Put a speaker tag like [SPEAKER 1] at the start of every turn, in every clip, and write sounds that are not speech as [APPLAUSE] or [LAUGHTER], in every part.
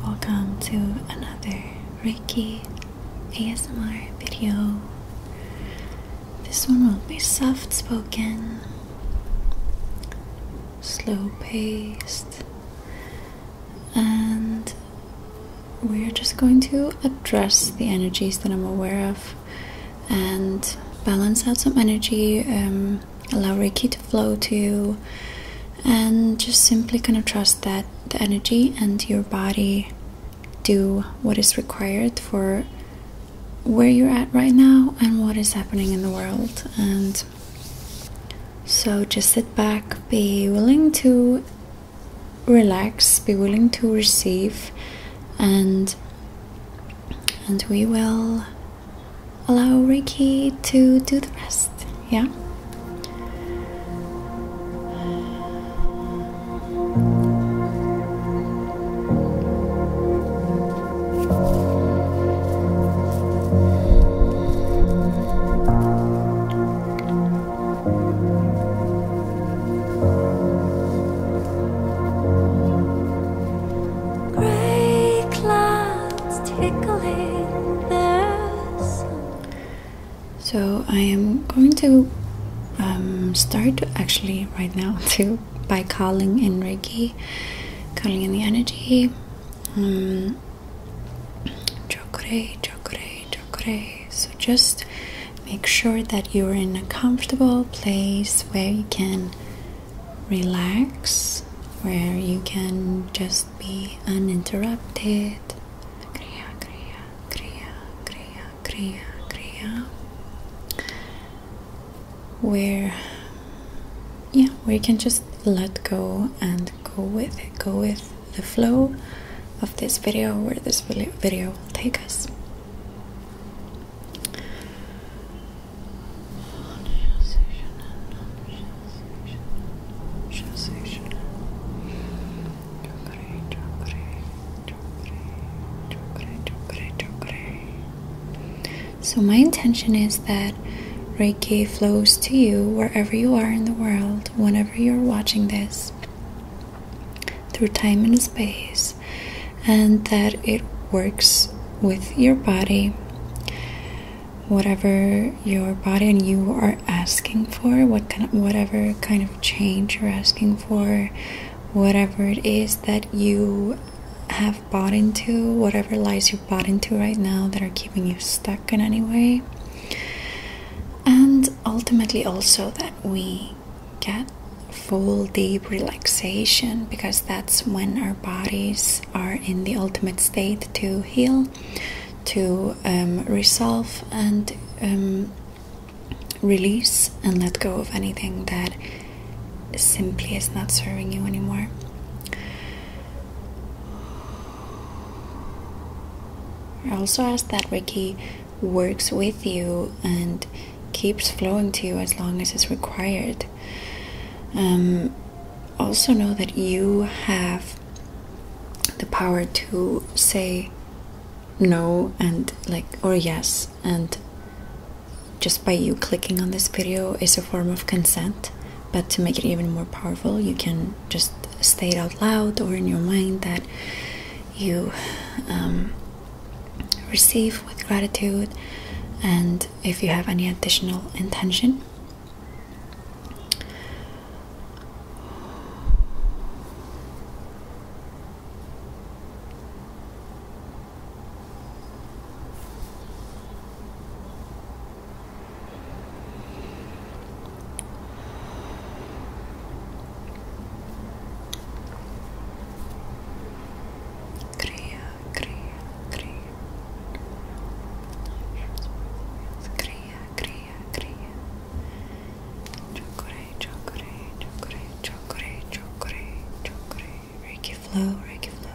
[SPEAKER 1] Welcome to another Reiki ASMR video. This one will be soft spoken slow paced, and we're just going to address the energies that I'm aware of and balance out some energy, um, allow Reiki to flow to you, and just simply kind of trust that the energy and your body do what is required for where you're at right now and what is happening in the world and so just sit back, be willing to relax, be willing to receive, and and we will allow Reiki to do the rest. Yeah. So I am going to um, start actually right now [LAUGHS] to by calling in Reiki, calling in the energy chakra, chakra, chakra. So just make sure that you're in a comfortable place where you can relax, where you can just be uninterrupted. Kriya, kriya, kriya, kriya, kriya, kriya where yeah we can just let go and go with go with the flow of this video where this video will take us so, my intention is that Reiki flows to you wherever you are in the world, whenever you're watching this, through time and space, and that it works with your body. Whatever your body and you are asking for, what kind whatever kind of change you're asking for, whatever it is that you have bought into, whatever lies you've bought into right now that are keeping you stuck in any way. And ultimately, also that we get full deep relaxation because that's when our bodies are in the ultimate state to heal, to um, resolve, and um, release and let go of anything that simply is not serving you anymore. I also ask that Ricky works with you and keeps flowing to you as long as it's required. Um, also, know that you have the power to say no and like, or yes, and just by you clicking on this video is a form of consent but to make it even more powerful you can just state out loud or in your mind that you um, receive with gratitude and if you have any additional intention Kriya, Kriya, Kriya. Kriya, Kriya, Kriya. Chokore, Chokore, Chokore, Chokore, Chokore, Chokore. Ricky flow, Ricky flow.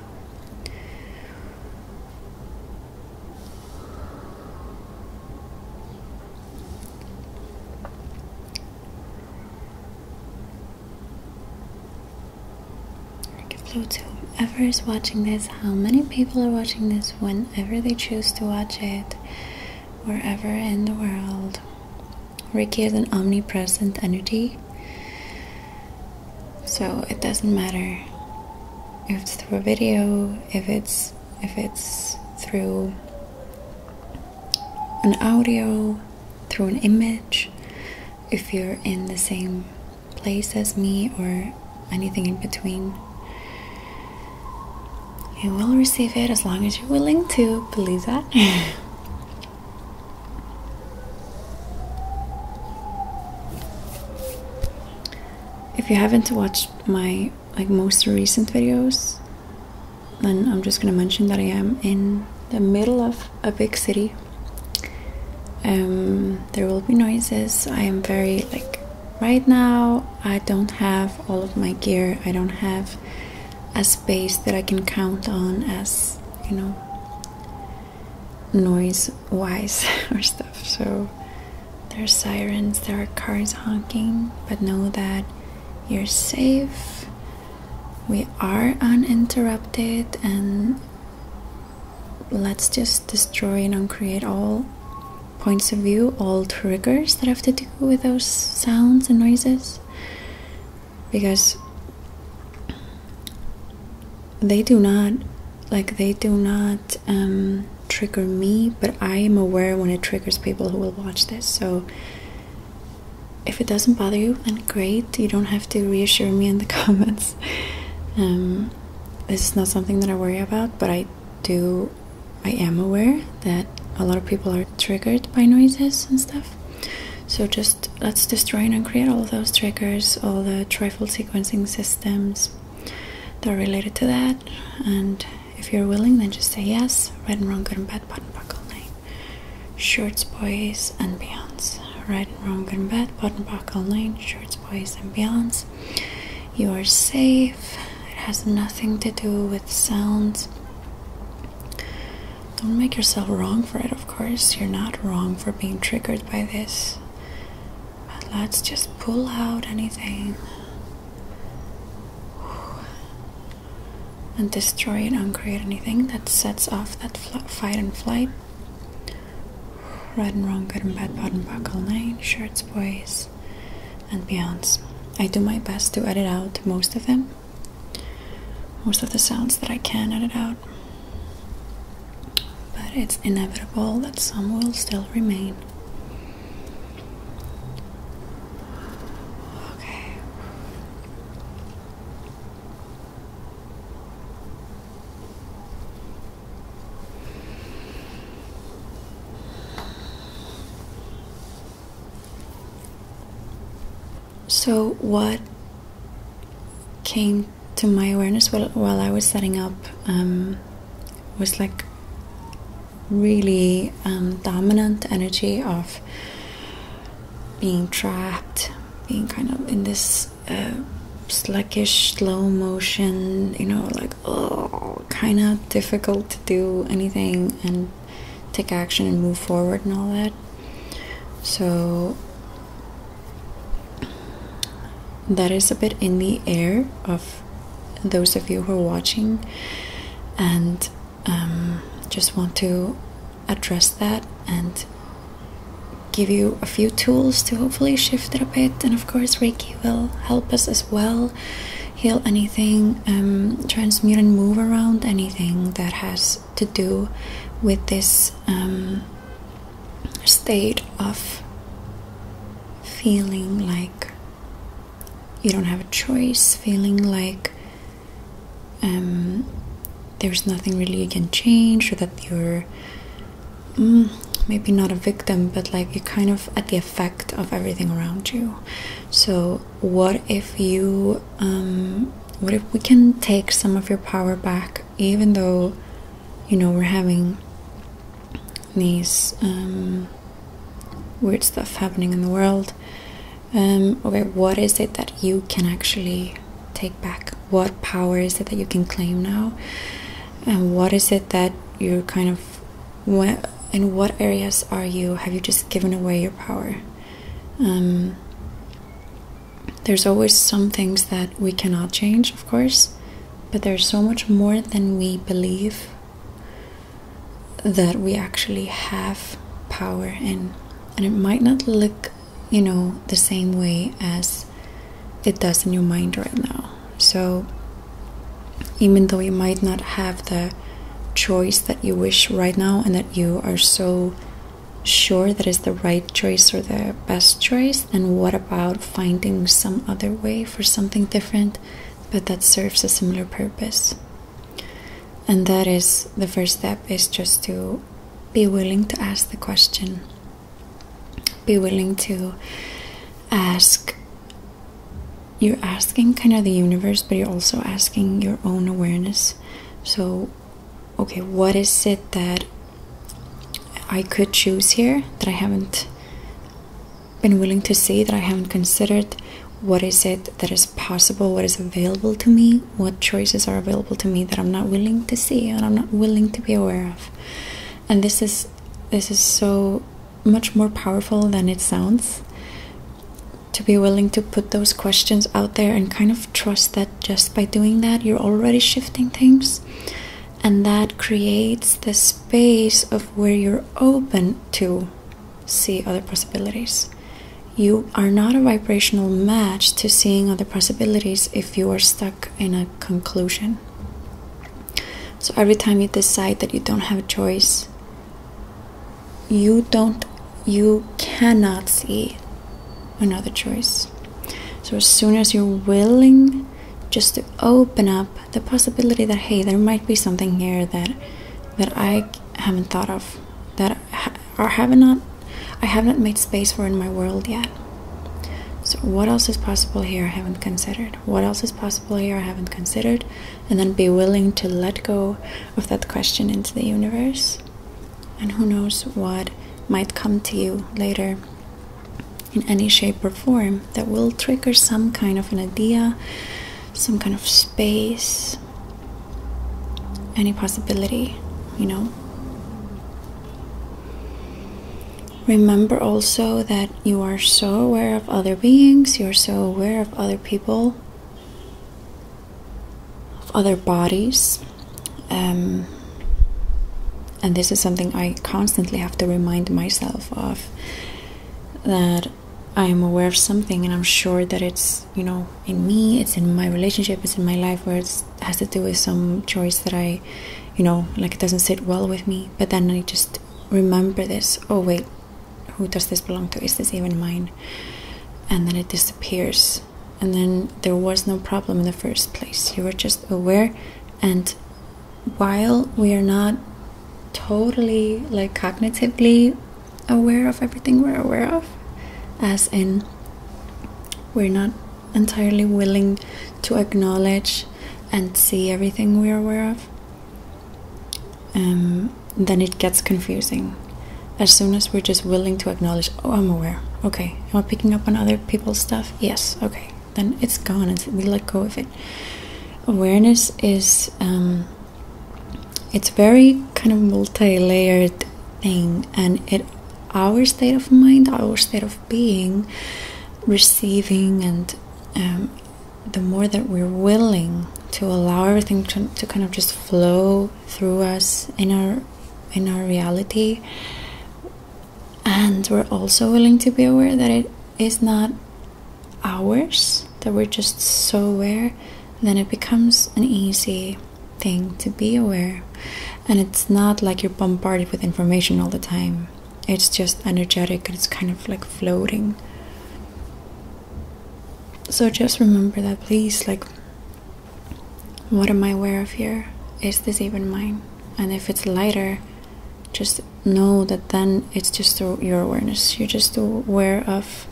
[SPEAKER 1] Ricky flow to whoever is watching this, how many people are watching this whenever they choose to watch it, wherever in the world. Ricky is an omnipresent entity. So it doesn't matter if it's through a video, if it's if it's through an audio, through an image, if you're in the same place as me or anything in between. You will receive it as long as you're willing to believe that. [LAUGHS] If you haven't watched my like most recent videos, then I'm just gonna mention that I am in the middle of a big city. Um, there will be noises. I am very like right now. I don't have all of my gear. I don't have a space that I can count on as you know noise wise [LAUGHS] or stuff. So there are sirens, there are cars honking, but know that you're safe. We are uninterrupted and let's just destroy and uncreate all points of view, all triggers that have to do with those sounds and noises. Because they do not like they do not um, trigger me but i am aware when it triggers people who will watch this so if it doesn't bother you then great you don't have to reassure me in the [LAUGHS] comments um, this is not something that i worry about but i do i am aware that a lot of people are triggered by noises and stuff so just let's destroy and create all those triggers, all the trifle sequencing systems that are related to that. And if you're willing, then just say yes. Right and wrong, good and bad, button buckle nine. shorts, boys, and beyonds. Right and wrong, good and bad, button buckle nine. shorts, boys, and beyonds. You are safe. It has nothing to do with sounds. Don't make yourself wrong for it of course, you're not wrong for being triggered by this, but let's just pull out anything and destroy and uncreate anything that sets off that fight and flight. Right and wrong, good and bad, pot and buckle, nine shirts, boys, and beyonds. I do my best to edit out most of them, most of the sounds that I can edit out. But it's inevitable that some will still remain. Okay. So, what came to my awareness while, I was setting up um, was like really um, dominant energy of being trapped, being kind of in this uh, sluggish, slow motion, you know, like, oh, kind of difficult to do anything and take action and move forward and all that. So that is a bit in the air of those of you who are watching, and um, just want to address that and give you a few tools to hopefully shift it a bit. And of course, Reiki will help us as well heal anything, um, transmute and move around anything that has to do with this. Um, state of feeling like you don't have a choice, feeling like um, there's nothing really you can change, or that you're mm, maybe not a victim, but like you're kind of at the effect of everything around you. So, what if you um, what if we can take some of your power back, even though you know we're having these um, weird stuff happening in the world? Um, okay, what is it that you can actually take back? What power is it that you can claim now? And what is it that you're kind of what in what areas are you have you just given away your power? Um, there's always some things that we cannot change, of course, but there's so much more than we believe that we actually have power in. And it might not look, you know, the same way as it does in your mind right now. So, even though you might not have the choice that you wish right now and that you are so sure that is the right choice or the best choice, then what about finding some other way for something different but that serves a similar purpose? And that is the first step is just to be willing to ask the question. Be willing to ask. You're asking kind of the universe, but you're also asking your own awareness. So, okay, what is it that I could choose here that I haven't been willing to see, that I haven't considered? What is it that is possible? What is available to me? What choices are available to me that I'm not willing to see and I'm not willing to be aware of? And this is this is so much more powerful than it sounds to be willing to put those questions out there and kind of trust that just by doing that, you're already shifting things, and that creates the space of where you're open to see other possibilities. You are not a vibrational match to seeing other possibilities if you are stuck in a conclusion. So every time you decide that you don't have a choice, you don't you cannot see another choice. So, as soon as you're willing just to open up the possibility that hey, there might be something here that that I haven't thought of, that I have not not, I have not made space for in my world yet. So, what else is possible here I haven't considered? What else is possible here I haven't considered? And then be willing to let go of that question into the universe and who knows what might come to you later in any shape or form that will trigger some kind of an idea, some kind of space, any possibility, you know. Remember also that you are so aware of other beings, you're so aware of other people, of other bodies. Um, and this is something I constantly have to remind myself of that I am aware of something and I'm sure that it's, you know, in me, it's in my relationship, it's in my life where it has to do with some choice that I, you know, like it doesn't sit well with me. But then I just remember this oh, wait, who does this belong to? Is this even mine? And then it disappears and then there was no problem in the first place. You were just aware. And while we are not totally, like, cognitively aware of everything we're aware of, as in, we're not entirely willing to acknowledge and see everything we're aware of, um, then it gets confusing. As soon as we're just willing to acknowledge, oh, I'm aware, okay, Okay. Am I picking up on other people's stuff? Yes. Okay. Then it's gone. we let go of it. Awareness is um, it's very kind of multi-layered thing, and it our state of mind, our state of being, receiving, and um, the more that we're willing to allow everything to, to kind of just flow through us in our in our reality and we're also willing to be aware that it is not ours that we're just so aware then it becomes an easy thing to be aware and it's not like you're bombarded with information all the time it's just energetic it's kind of like floating so just remember that please like what am I aware of here? Is this even mine? And if it's lighter, just know that then it's just through your awareness. You're just aware of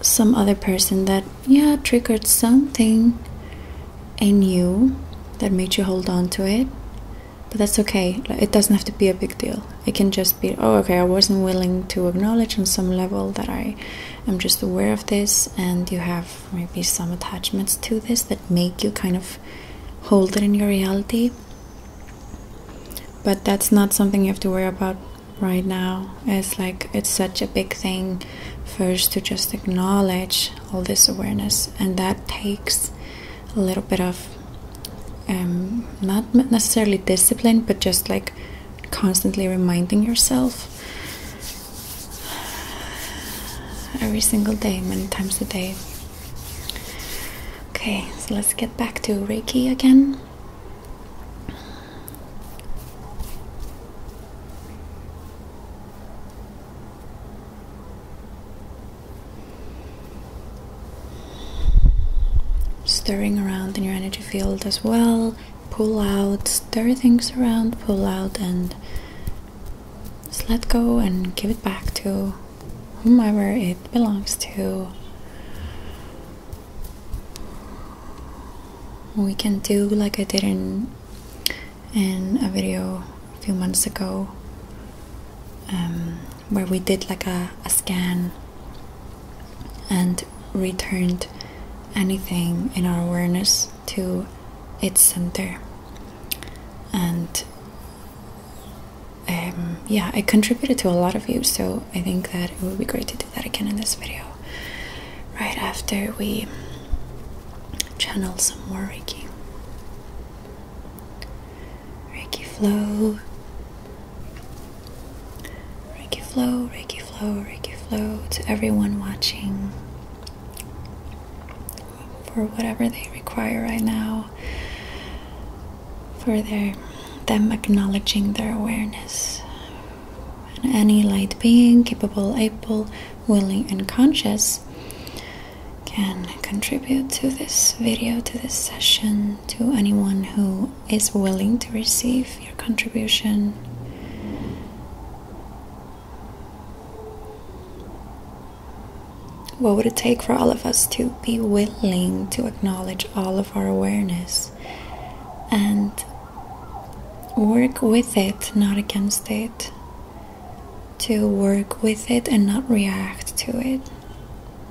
[SPEAKER 1] some other person that, yeah, triggered something in you that made you hold on to it. But that's okay. It doesn't have to be a big deal. It can just be, oh, okay, I wasn't willing to acknowledge on some level that I am just aware of this, and you have maybe some attachments to this that make you kind of hold it in your reality. But that's not something you have to worry about right now. It's like it's such a big thing first to just acknowledge all this awareness, and that takes a little bit of um, not necessarily discipline, but just like constantly reminding yourself every single day, many times a day. Okay, so let's get back to Reiki again. Stirring around in your energy field as well, pull out stir things around, pull out and just let go and give it back to whomever it belongs to. We can do like I did in, in a video a few months ago um, where we did like a scan and returned anything in our awareness to its center and um, yeah i contributed to a lot of you so i think that it would be great to do that again in this video right after we channel some more reiki reiki flow reiki flow reiki flow reiki flow to everyone watching for whatever they require right now for their them acknowledging their awareness any light being capable able willing and conscious can contribute to this video to this session to anyone who is willing to receive your contribution what would it take for all of us to be willing to acknowledge all of our awareness and work with it, not against it? To work with it and not react to it?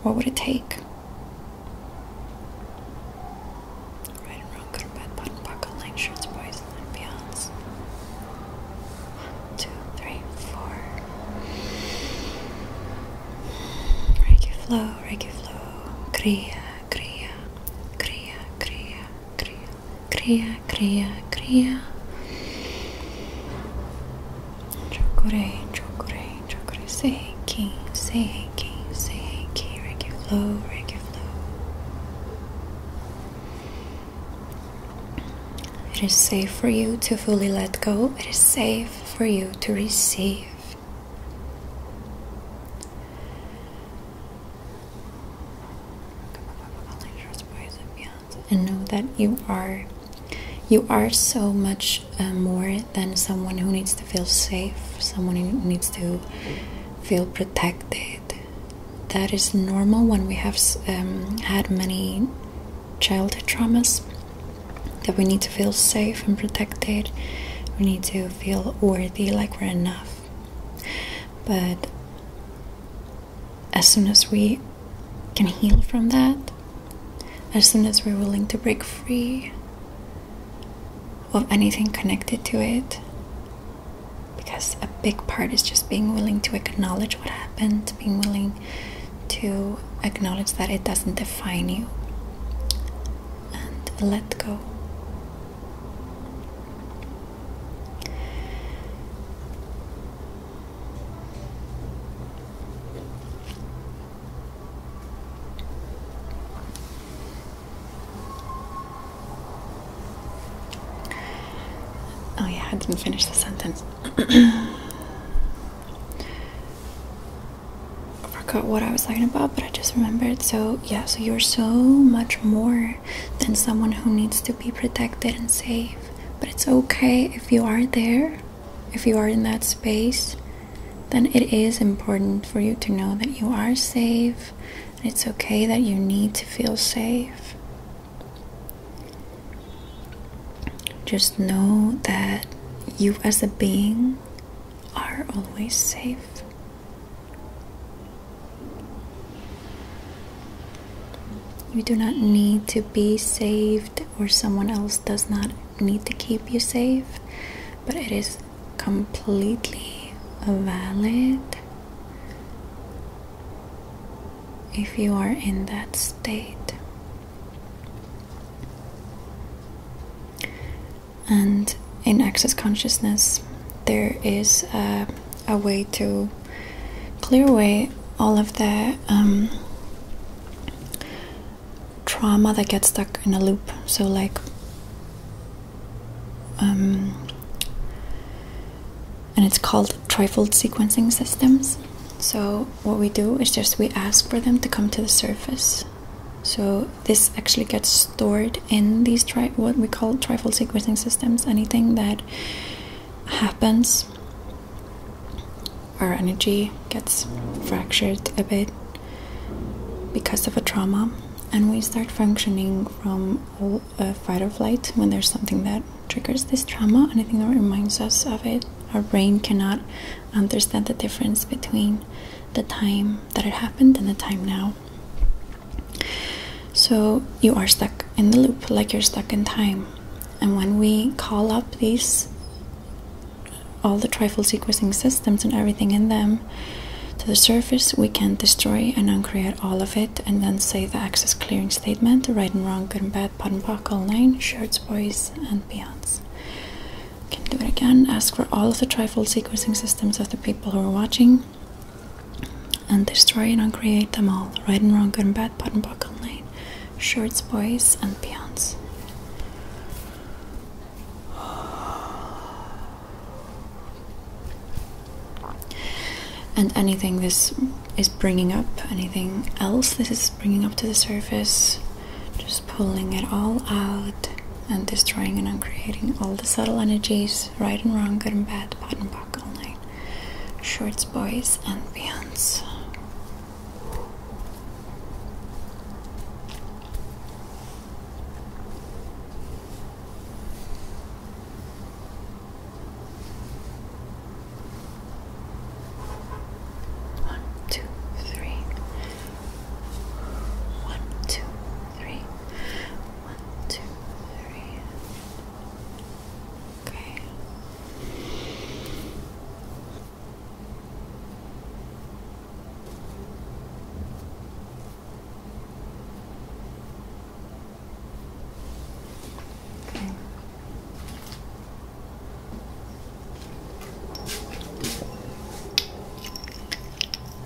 [SPEAKER 1] What would it take? stronger but one buckle lectures poison and beyonds. One, two, three, four. Reiki flow, Reiki flow. Kriya, Kriya, Kriya, Kriya, Kriya, Kriya, Kriya, Kriya. Chokure, chokure, chokure. Seiki, Seiki, Seiki. Reiki flow, Reiki flow. It is safe for you to fully let go, it is safe for you to receive. And know that you are you are so much uh, more than someone who needs to feel safe, someone who needs to feel protected that is normal when we have um, had many childhood traumas that we need to feel safe and protected we need to feel worthy like we're enough but as soon as we can heal from that as soon as we're willing to break free of anything connected to it because a big part is just being willing to acknowledge what happened, being willing to acknowledge that it doesn't define you, and let go. Oh, yeah, I didn't finish the sentence. I forgot what I was talking about, but I just remembered. So, yeah, so you're so much more than someone who needs to be protected and safe. But it's okay if you are there, if you are in that space, then it is important for you to know that you are safe, it's okay that you need to feel safe. Just know that you, as a being, are always safe. You do not need to be saved, or someone else does not need to keep you safe, but it is completely valid if you are in that state. And in access consciousness, there is a, way to clear away all of the um, trauma that gets stuck in a loop. So, like um, and it's called trifold sequencing systems. So what we do is just we ask for them to come to the surface. So this actually gets stored in these tri what we call trifold sequencing systems. Anything that happens, our energy gets fractured a bit because of a trauma, and we start functioning from old. A fight or flight when there's something that triggers this trauma, anything that reminds us of it. Our brain cannot understand the difference between the time that it happened and the time now. So you are stuck in the loop, like you're stuck in time. And when we call up these all the trifle sequencing systems and everything in them, to the surface, we can destroy and uncreate all of it, and then say the access clearing statement, right and wrong, good and bad, pot and pock, nine, shirts, boys, and beyonds. Can do it again. Ask for all of the trifold sequencing systems of the people who are watching, and destroy and uncreate them all, right and wrong, good and bad, pot and pock, nine, shirts, boys, and beyonds and anything this is bringing up, anything else this is bringing up to the surface, just pulling it all out and destroying and uncreating all the subtle energies, right and wrong, good and bad, pot and buck, all night, shorts, boys, and beyonds. One, two, three. One, two, three. One, two, three. Okay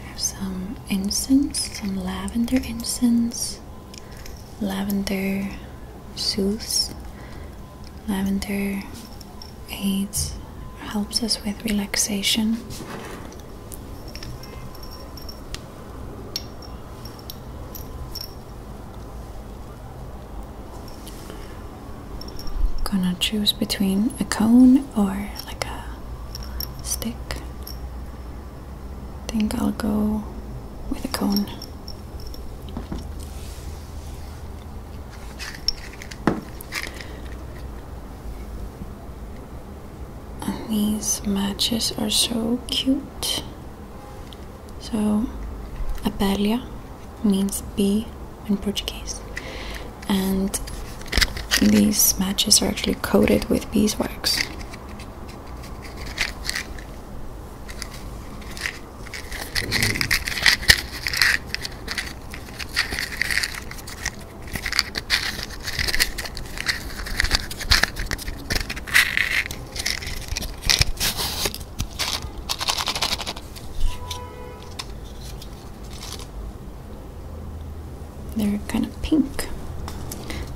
[SPEAKER 1] have some incense, some lavender incense, lavender soothes, lavender aids, helps us with relaxation. Gonna choose between a cone or like a stick. I think I'll go with a cone. And these matches are so cute. So, abelha means bee in Portuguese. And these matches are actually coated with beeswax. They're kind of pink,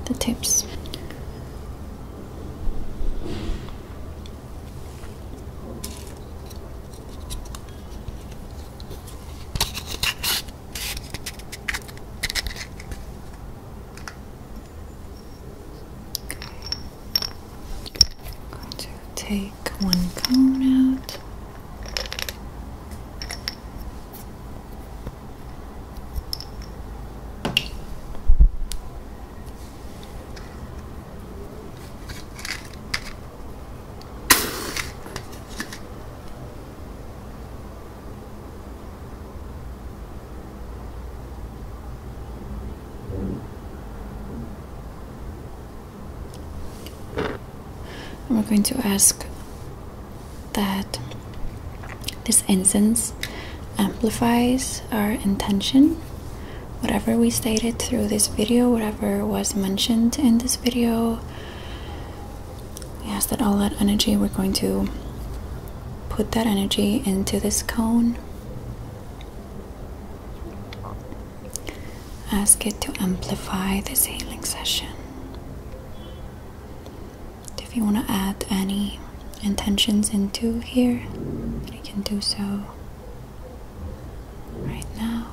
[SPEAKER 1] the tips to take one cone out. We're going to ask that this incense amplifies our intention. Whatever we stated through this video, whatever was mentioned in this video, Yes, that all that energy we're going to put that energy into this cone. Ask it to amplify this healing session. If you want to add any intentions into here, you can do so right now.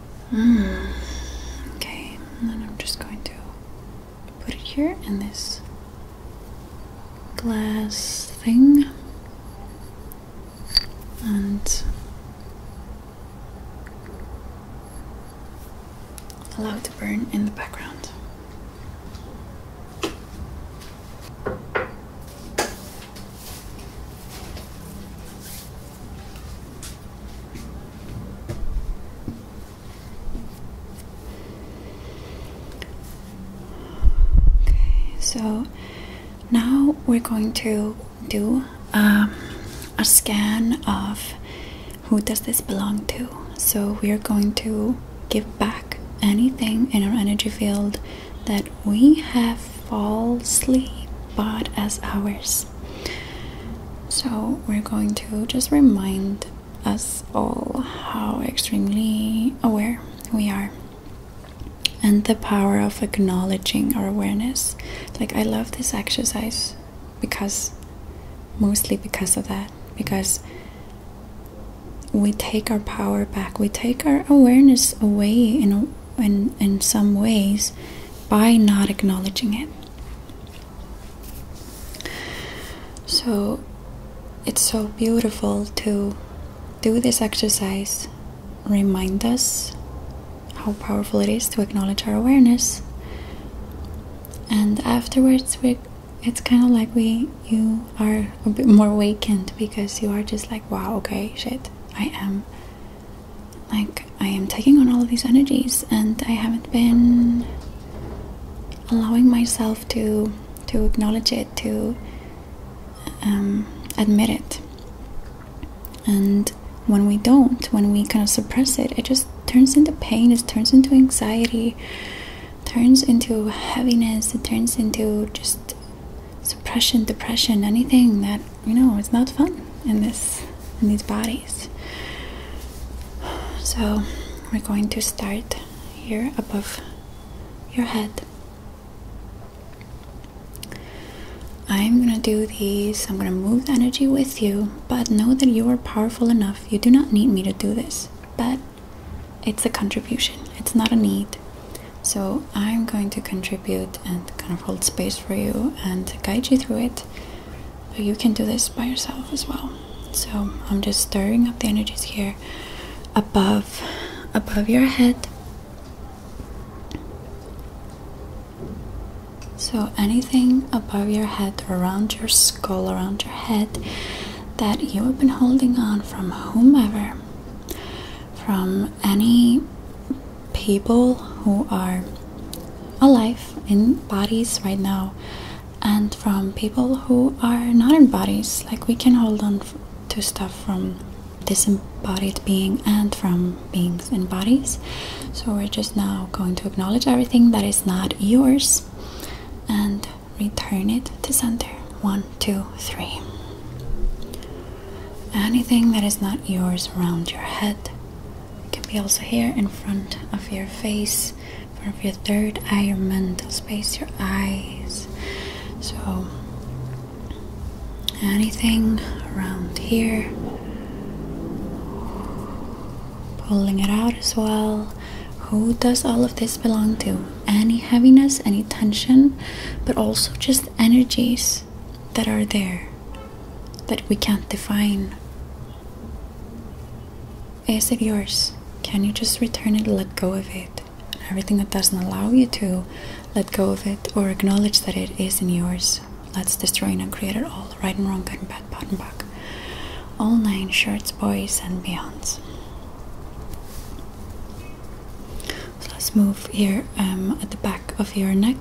[SPEAKER 1] Hmm. Okay, and then I'm just going to put it here in this glass thing and allow it to burn in the background. Okay, so now we're going to do um, a scan of who does this belong to. So we are going to give back anything in our energy field that we have falsely bought as ours. So, we're going to just remind us all how extremely aware we are and the power of acknowledging our awareness. Like, I love this exercise because mostly because of that, because we take our power back, we take our awareness away you know in, in some ways by not acknowledging it. So it's so beautiful to do this exercise, remind us how powerful it is to acknowledge our awareness. And afterwards, we, it's kind of like we you are a bit more awakened because you are just like, wow, okay, shit, I am like I am taking on all of these energies and I haven't been allowing myself to to acknowledge it to um, admit it and when we don't when we kind of suppress it it just turns into pain it turns into anxiety turns into heaviness it turns into just suppression depression anything that you know it's not fun in this in these bodies so we're going to start here above your head I'm gonna do these I'm gonna move the energy with you but know that you are powerful enough you do not need me to do this but it's a contribution it's not a need so I'm going to contribute and kind of hold space for you and guide you through it. But you can do this by yourself as well. So I'm just stirring up the energies here above above your head. So anything above your head, around your skull, around your head that you have been holding on from whomever, from any people who are alive in bodies right now and from people who are not in bodies like we can hold on to stuff from disembodied being and from beings in bodies so we're just now going to acknowledge everything that is not yours and return it to center one two three Anything that is not yours around your head it can be also here in front of your face, front of your third eye, your mental space, your eyes. So, anything around here, pulling it out as well. Who does all of this belong to? Any heaviness, any tension, but also just energies that are there that we can't define. Is it yours? Can you just return it, let go of it? everything that doesn't allow you to let go of it or acknowledge that it isn't yours, let's destroy and create it all right and wrong, good and bad, bad and back. All nine shirts, boys, and beyonds. So let's move here um, at the back of your neck.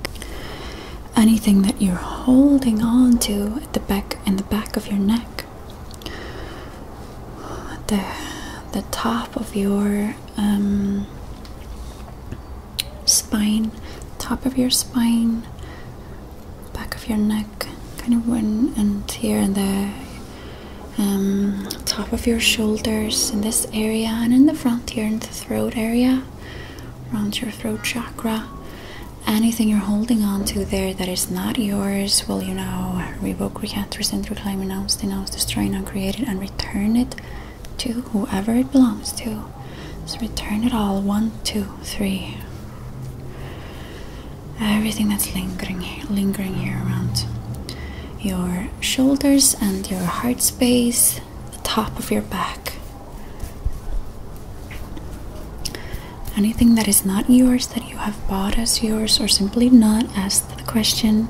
[SPEAKER 1] Anything that you're holding on to at the back in the back of your neck. The the top of your um, spine, top of your spine, back of your neck, kind of one here and there. Um, top of your shoulders in this area and in the front here in the throat area around your throat chakra. Anything you're holding on to there that is not yours, will you now revoke, recant, rescind, reclaim, renounce, denounce, destroy, now create it, and return it to whoever it belongs to. So return it all. One, two, three. Everything that's lingering, lingering here around your shoulders and your heart space the top of your back. Anything that is not yours that you have bought as yours or simply not asked the question.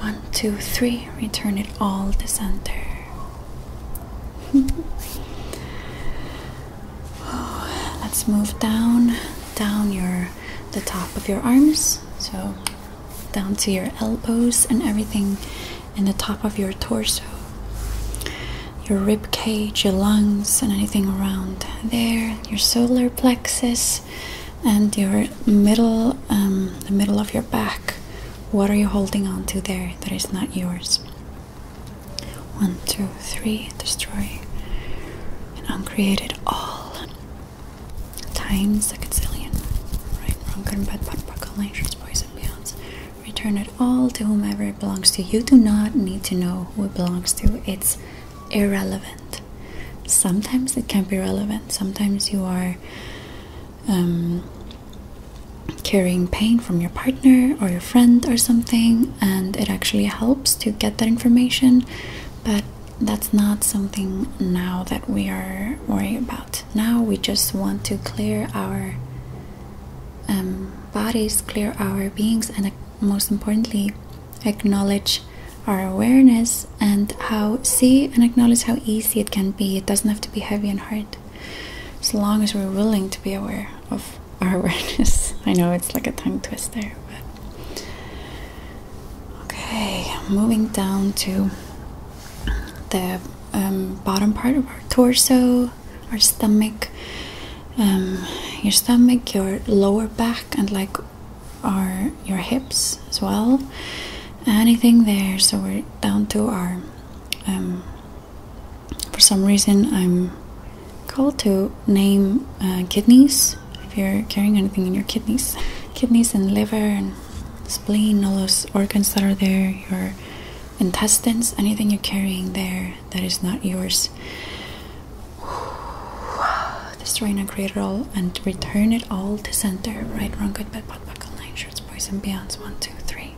[SPEAKER 1] One, two, three, return it all to center. [LAUGHS] Let's move down, down your the top of your arms. So down to your elbows and everything in the top of your torso, your rib cage, your lungs, and anything around there, your solar plexus, and your middle, um, the middle of your back. What are you holding on to there that is not yours? One, two, three, destroy and uncreate it all. Times the zillion, right, wrong, good and bad, bad, buckle, nations, boys and beyonds. Return it all to whomever it belongs to. You do not need to know who it belongs to. It's irrelevant. Sometimes it can be relevant. Sometimes you are um, carrying pain from your partner or your friend or something, and it actually helps to get that information. But that's not something now that we are worrying about. Now we just want to clear our um, bodies, clear our beings, and uh, most importantly, acknowledge our awareness and how see and acknowledge how easy it can be. It doesn't have to be heavy and hard, as long as we're willing to be aware of our [LAUGHS] awareness. I know it's like a tongue twister, but Okay, moving down to the um, bottom part of our torso, our stomach, um, your stomach, your lower back, and like our your hips as well. Anything there? So we're down to our. Um, for some reason, I'm called to name uh, kidneys if you're carrying anything in your kidneys, kidneys and liver and spleen, all those organs that are there, your intestines, anything you're carrying there that is not yours. [SIGHS] Destroy and create it all and return it all to center. Right, wrong, good, bad, pot, buckle, nine shirts, boys and beyonds. One, two, three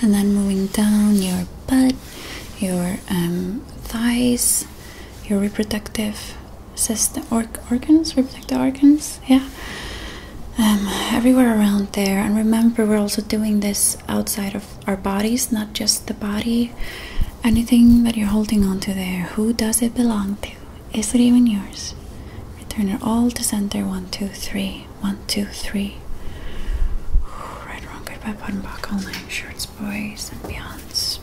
[SPEAKER 1] and then moving down your butt, your um, thighs, your reproductive system, organs, reproductive organs, yeah, um, everywhere around there. And remember, we're also doing this outside of our bodies, not just the body. Anything that you're holding on to there, who does it belong to? Is it even yours? Return it all to center. One, two, three. One, two, three. right, wrong, goodbye, button, all nine shirts, boys, and beyonds.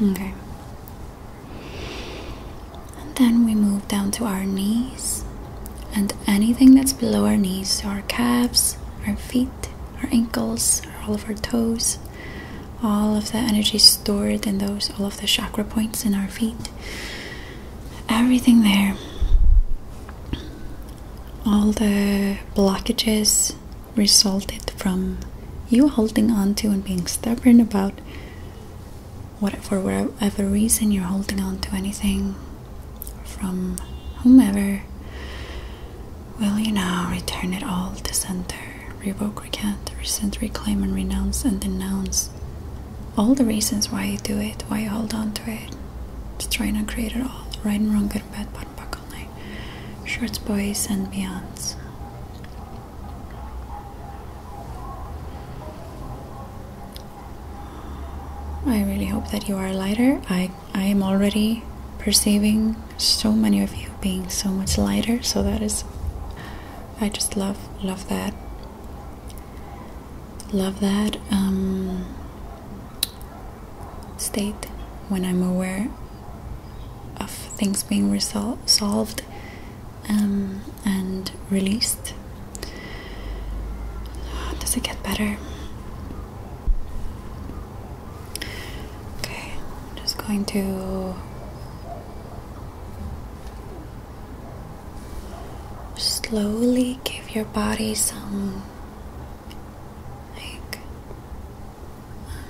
[SPEAKER 1] Okay. And then we move down to our knees and anything that's below our knees, so our calves, our feet, our ankles, all of our toes, all of the energy stored in those, all of the chakra points in our feet, everything there, all the blockages resulted from you holding on to and being stubborn about what for whatever reason you're holding on to anything from whomever, will you now return it all to center, revoke, recant, resent, reclaim, and renounce and denounce all the reasons why you do it, why you hold on to it, Just try and uncreate it all, right and wrong, good and bad, bottom, buckle, night, shorts, boys, and beyonds. I really hope that you are lighter. I I am already perceiving so many of you being so much lighter. So that is, I just love love that. Love that um, state when I'm aware of things being resolved, um, and released. Does it get better? Okay, I'm just going to slowly give your body some like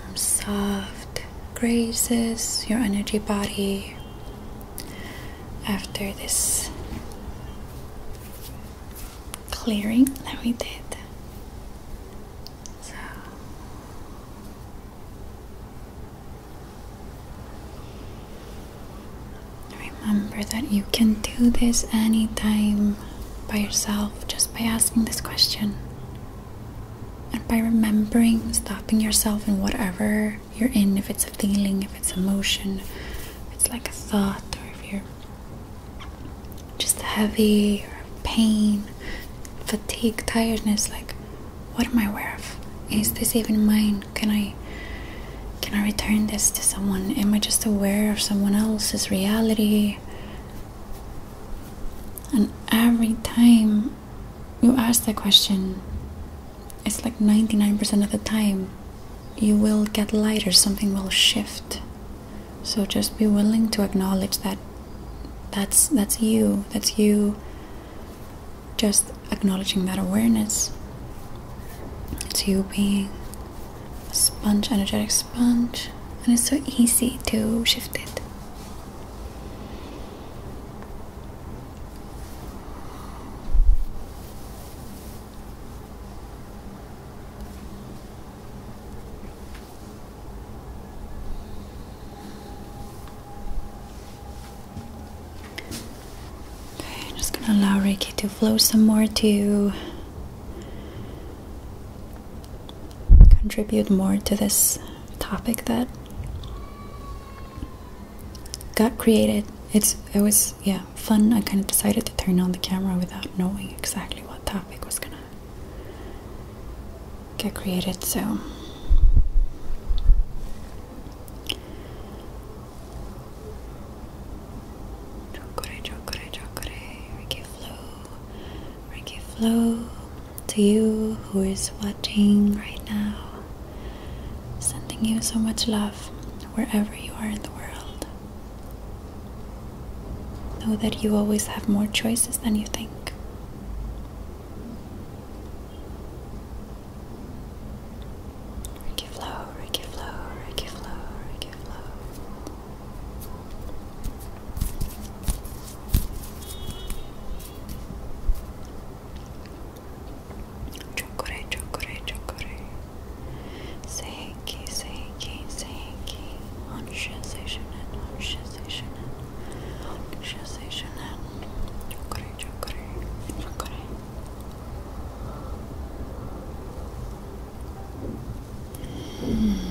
[SPEAKER 1] um, soft grazes your energy body after this clearing that we did. So remember that you can do this anytime by yourself just by asking this question and by remembering stopping yourself in whatever you're in if it's a feeling if it's emotion it's like a thought or if you're just heavy pain, fatigue, tiredness, like what am I aware of? Is this even mine? Can I can I return this to someone? Am I just aware of someone else's reality? And every time you ask that question, it's like 99% of the time you will get lighter, something will shift. So just be willing to acknowledge that that's that's you, that's you just acknowledging that awareness. It's you being a sponge, energetic sponge, and it's so easy to shift it. I'm just gonna allow Ricky to flow some more to contribute more to this topic that got created. It's it was yeah fun. I kind of decided to turn on the camera without knowing exactly what topic was gonna get created, so Chokore, chokore, chokore, Ricky Flow, Ricky Flow to you who is watching right now. Sending you so much love wherever you are in the world. Know that you always have more choices than you think. Ricky flow, Ricky flow, Ricky flow, Ricky flow. Chocolate, chocolate, chocolate. Seiki, Seiki, Seiki, Onsha Seishonen, Onsha Seishonen, Onsha Seishonen, Chokore, Chokore, Chokore. Mm.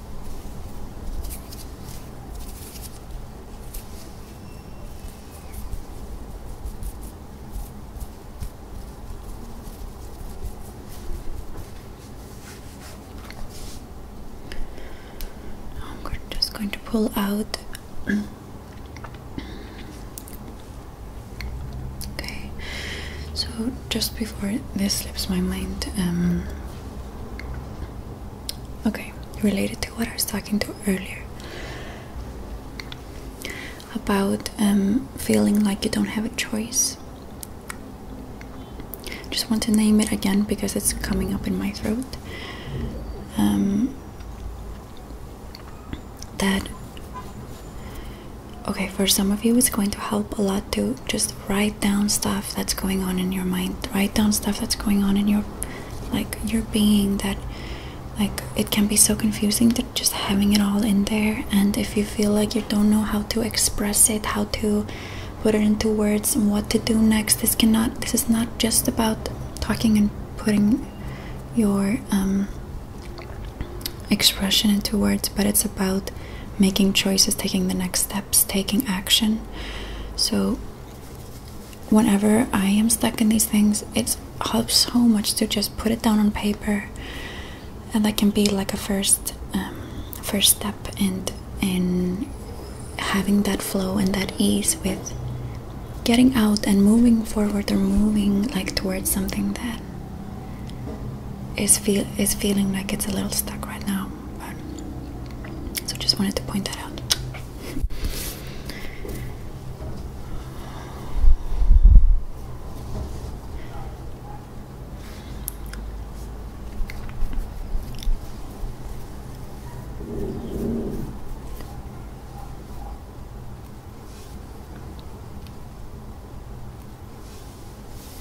[SPEAKER 1] I'm just going to pull out. okay, so just before this slips my mind, um, Okay, related to what I was talking to earlier about um, feeling like you don't have a choice. Just want to name it again because it's coming up in my throat. Um, that okay for some of you it's going to help a lot to just write down stuff that's going on in your mind write down stuff that's going on in your like your being that like it can be so confusing to just having it all in there and if you feel like you don't know how to express it how to put it into words and what to do next this cannot this is not just about talking and putting your um, expression into words but it's about making choices, taking the next steps, taking action. So, whenever I am stuck in these things, it helps so much to just put it down on paper, and that can be like a first, um, first step and in, in having that flow and that ease with getting out and moving forward or moving like towards something that is feel is feeling like it's a little stuck right now so just wanted to point that out.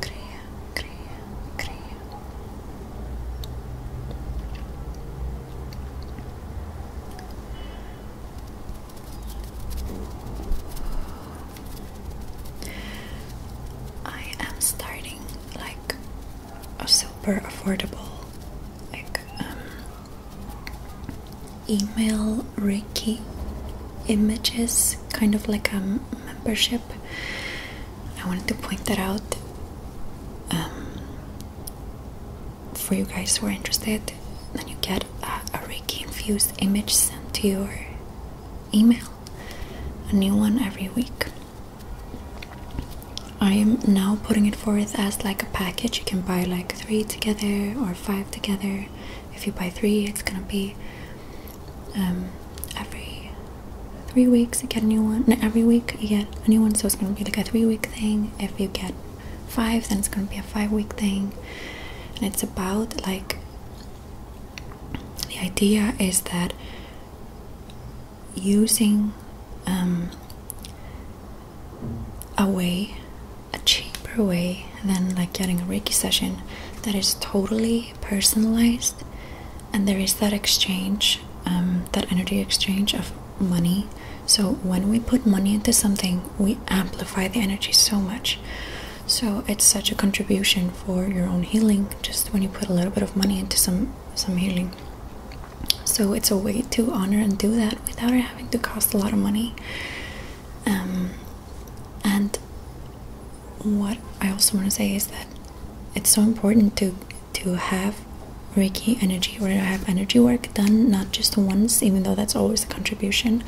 [SPEAKER 1] Crea, crea, crea. I am starting like a super affordable like um, email reiki images kind of like a membership. I wanted to point that out um, for you guys who are interested. Then you get a, a Reiki infused image sent to your email, a new one every week. I am now putting it forth as like a package. You can buy like three together or five together. If you buy three, it's gonna be um, every three weeks you get a new one every week you get a new one so it's going to be like a three week thing if you get five then it's going to be a five week thing and it's about like the idea is that using um, a way a cheaper way than like getting a reiki session that is totally personalized, and there is that exchange, um, that energy exchange of money. So, when we put money into something, we amplify the energy so much. So, it's such a contribution for your own healing just when you put a little bit of money into some, some healing. So, it's a way to honor and do that without having to cost a lot of money. Um, and what I also want to say is that it's so important to to have Reiki energy or to have energy work done not just once, even though that's always a contribution,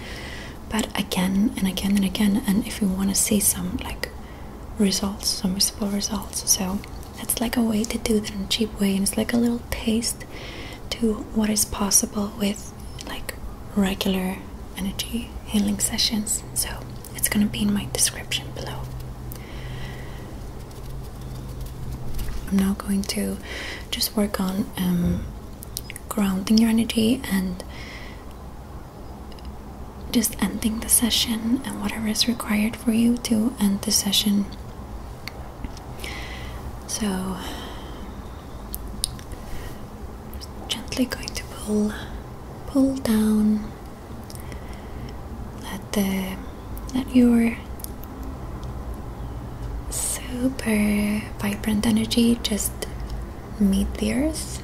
[SPEAKER 1] but again and again and again. And if you want to see some like results, some visible results, so that's like a way to do that in a cheap way, and it's like a little taste to what is possible with like regular energy healing sessions, so it's going to be in my description below. I'm now going to just work on um, grounding your energy and just ending the session and whatever is required for you to end the session. So just gently going to pull pull down let the let your super vibrant energy just meet the earth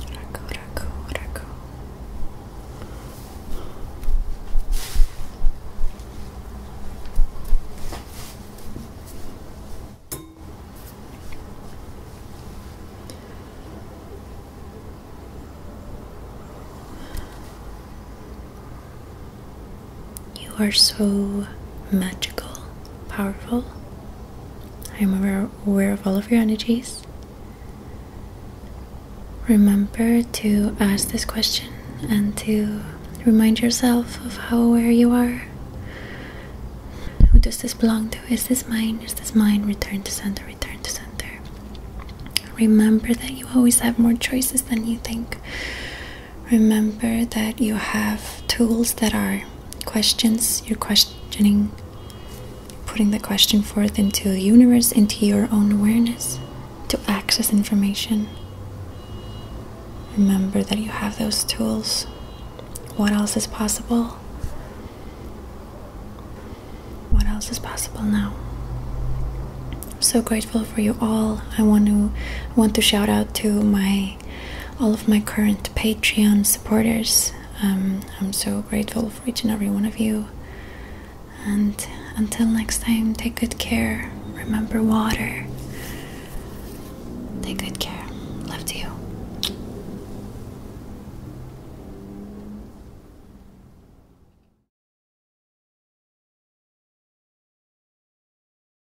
[SPEAKER 1] Raku, raku, raku. You are so magical, powerful, I am aware, of all of your energies. Remember to ask this question and to remind yourself of how aware you are. Who does this belong to? Is this mine? Is this mine? Return to center, return to center. Remember that you always have more choices than you think. Remember that you have tools that are questions. You're questioning, putting the question forth into the universe, into your own awareness to access information. Remember that you have those tools. What else is possible? What else is possible now? so grateful for you all. I want to I want to shout out to my all of my current Patreon supporters. Um, I'm so grateful for each and every one of you. And until next time, take good care. Remember water. Take good care. Love to you.